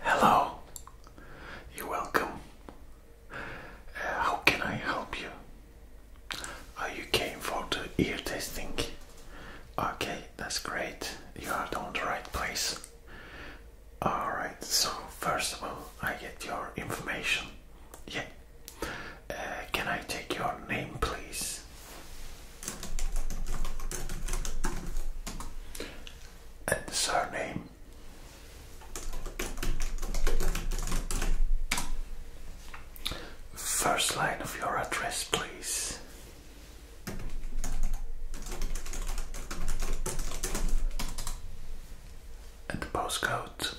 Hello, you're welcome. Uh, how can I help you? Oh, you came for the ear testing. Okay, that's great. You are on the right place. Alright, so first of all, I get your information. Yeah. Uh, can I take your name, please? And the surname? First line of your address, please. And the postcode.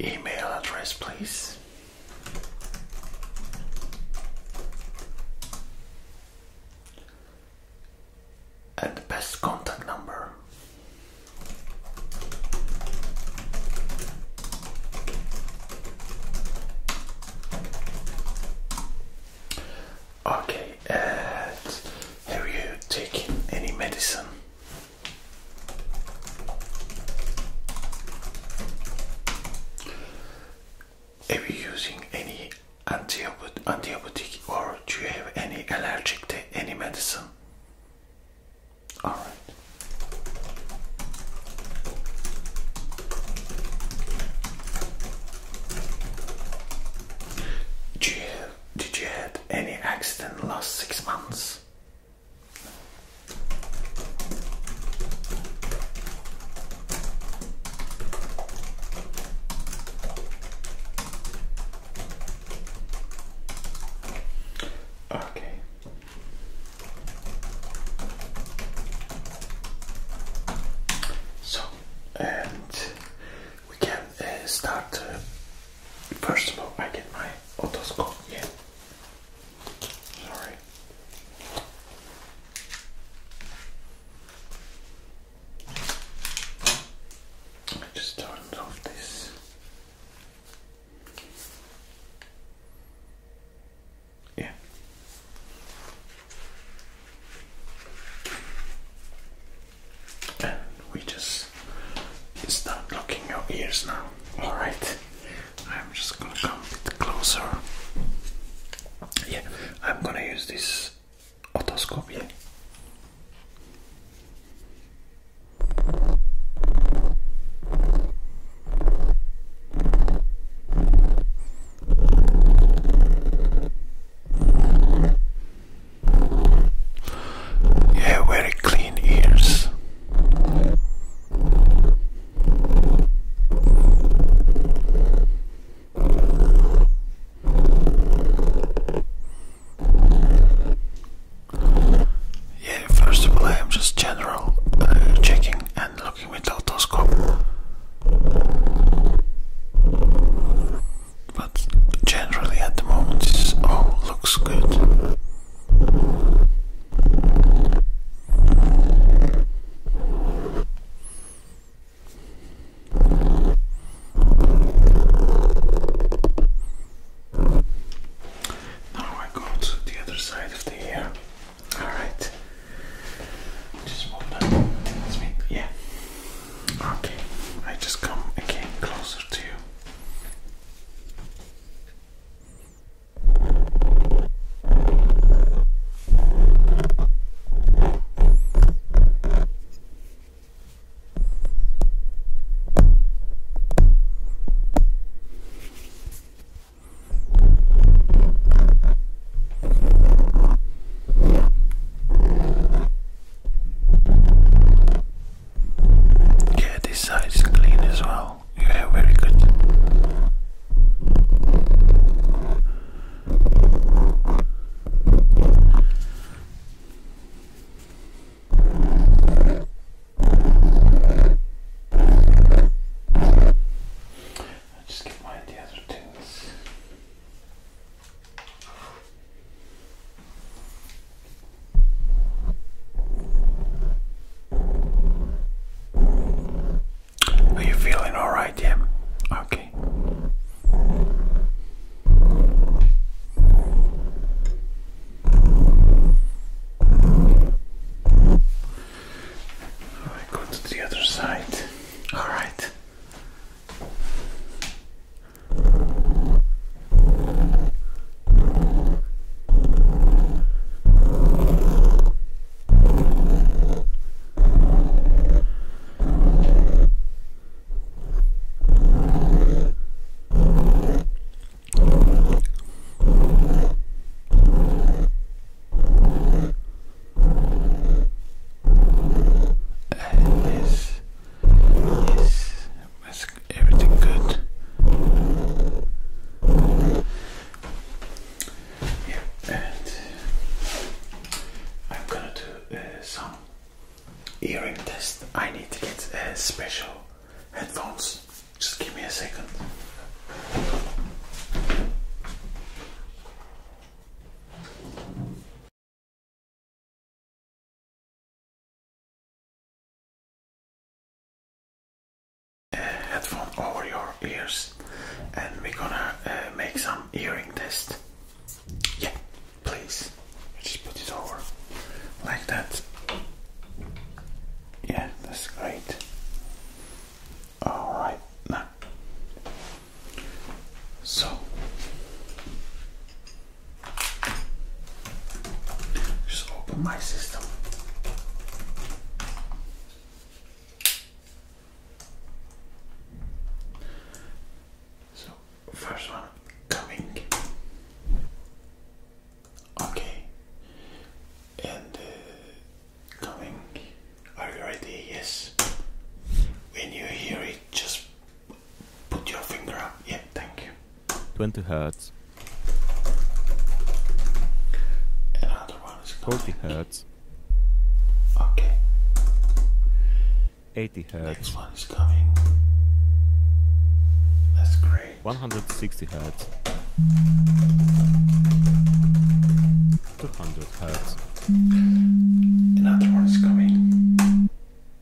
email address, please and the best contact number. Okay, and have you taken any medicine? Are you using any antibiotic or do you have any allergic to any medicine? Alright. Did you have, any accident in the last six months? Okay. So, and we can uh, start. Uh, first of all, I get my otoscope Yeah. Sorry. I just turned off this. Yeah. And we just start blocking your ears now. Alright. I'm just gonna come a bit closer. Yeah, I'm gonna use this otoscope. here. Yeah, very clean ears. Yeah, first of all, I am just general uh, checking and looking with autoscope. But generally, at the moment, this all looks good. Now I go the other side of the ear. Alright. Just move that. Yeah. Okay. I just come again closer to you. Yeah, this side is clean as well. Yeah, very good. i just get one of the other are you feeling alright, yeah? Okay. I go to the other side. Alright. Yes, yes, that's everything good. Yeah, and I'm gonna do uh, some earring test. I need to get uh, special headphones. Just give me a second headphone over your ears and we're gonna uh, make some earring test. Yeah, please. Just put it over like that. Yeah, that's great. Alright, now. So, just open my system. So, first one coming. Okay. And uh, coming. Are you ready? Yes. When you hear it, just put your finger up. Yeah, thank you. 20 hertz. Another 40 hertz. Okay. 80 hertz. Next one is coming. That's great. 160 hertz. 200 hertz. Another one is coming.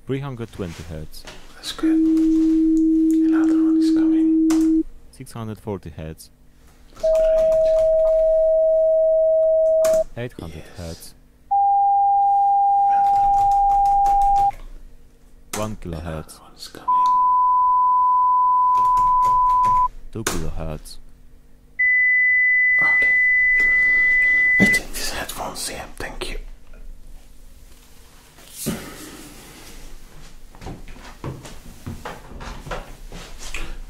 320 hertz. That's good. Another one is coming. 640 hertz. 800 Hertz. 1 kilohertz. 2 kilohertz. Okay. I take these headphones here, thank you.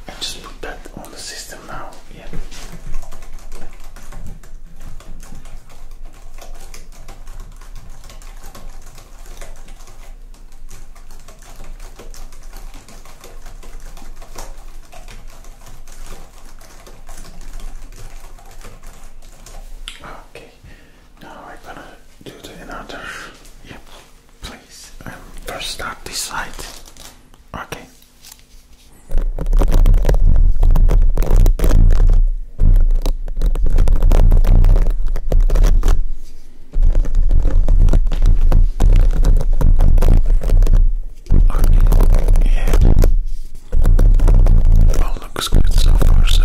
I just put that on the system now. Yeah. Okay, now I'm gonna do the another. Yep please um, first start this side okay Okay, yeah. All looks good so far, so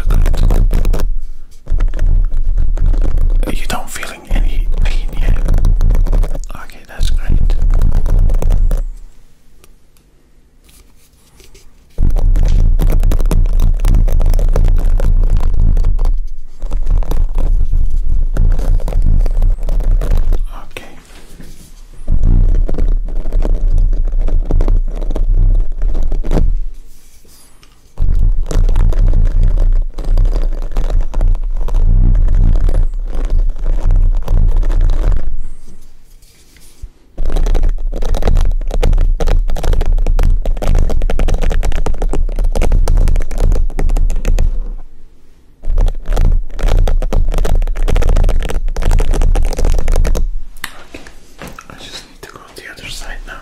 you don't feeling any pain yet. Okay, that's great. Okay. I just need to go on the other side now.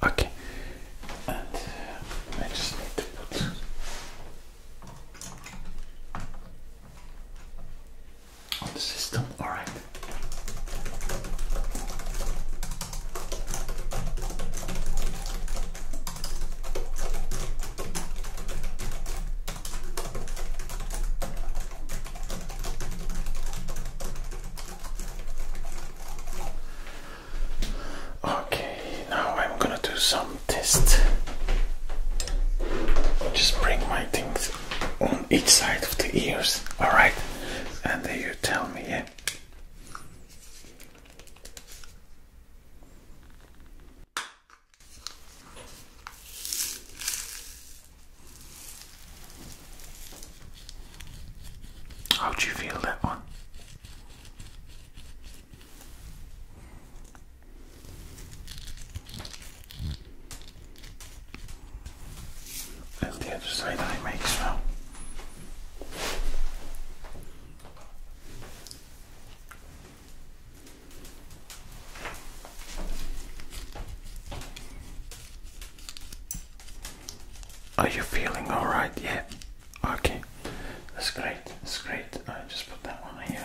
Okay, and uh, I just need to put. On the system, all right. Okay, now I'm gonna do some tests. Just bring my things on each side of the ears, alright? And then you tell me, how do you feel that one? And the other side I make now. Are you feeling all right? Yeah. Okay. That's great. That's great. I right, just put that one here.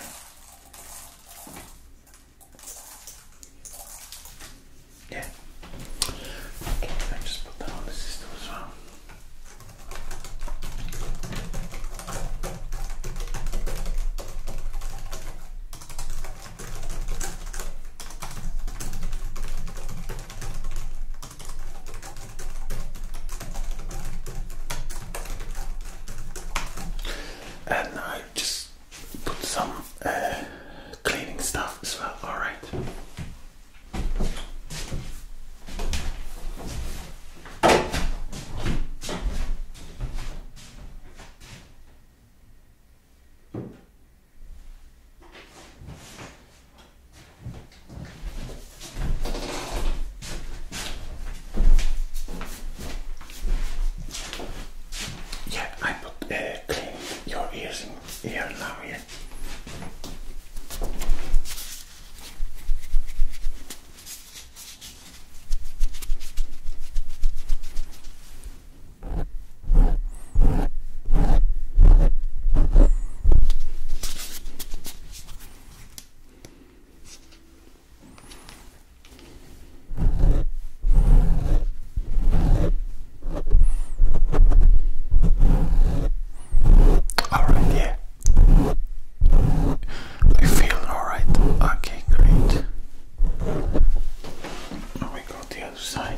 Yeah. Okay, I just put that on the system as well. And I just put some uh, cleaning stuff as well, alright. Yeah, I put uh, clean your ears in here now here. All right, yeah. I feel all right. Okay, great. We go to the other side.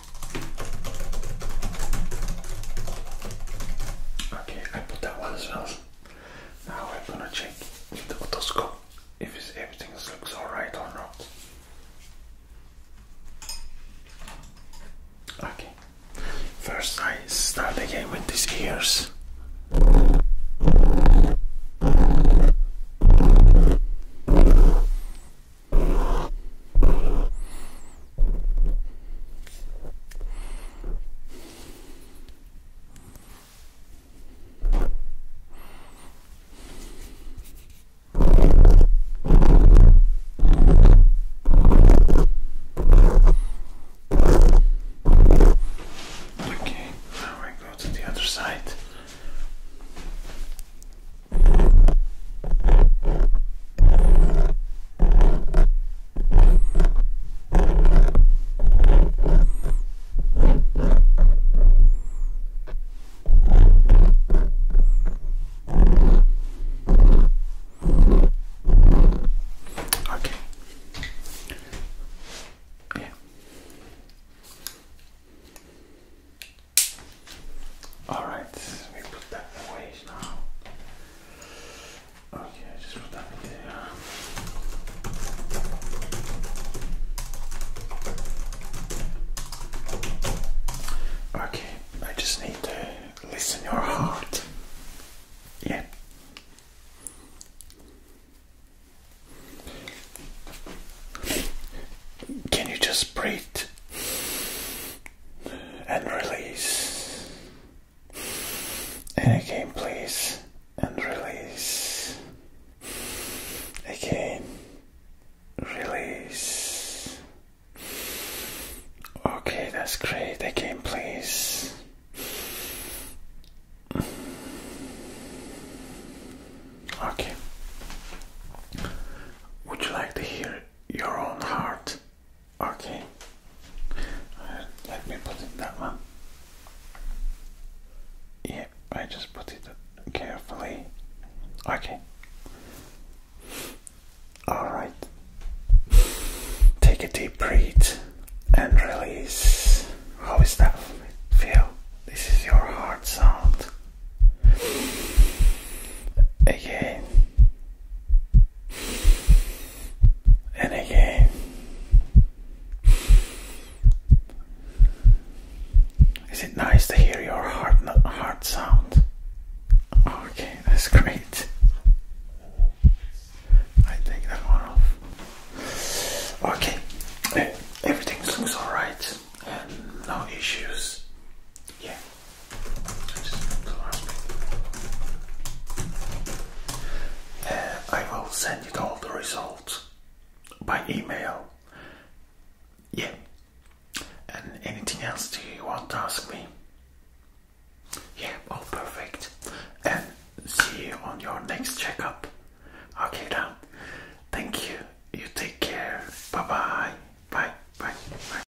Okay, I put that one as well. Now I'm gonna check with the otoscope if everything looks alright or not. Okay, first I start again with these ears. Okay, now we go to the other side. Okay. Yeah. All right, we put that away now. Okay, just put that in there. Okay, I just need to listen your heart. Yeah. Can you just breathe? and release. And again, please, and release. Again, release. Okay, that's great. Again, please. Okay. Would you like to hear your own heart Okay. Uh, let me put in that one. Yeah, I just put it carefully. Okay. Alright. Take a deep breath and release. How is that feel? This is your heart sound. Okay and again. Is it nice to hear your heart heart sound? Okay, that's great. I take that one off. Okay, eh, everything looks alright, no issues. Yeah. Uh, I will send you all the results by email. Yeah. And anything else do you want to ask me? Yeah, all oh, perfect. And see you on your next checkup. Okay, then. Thank you. You take care. Bye bye. Bye. Bye. Bye.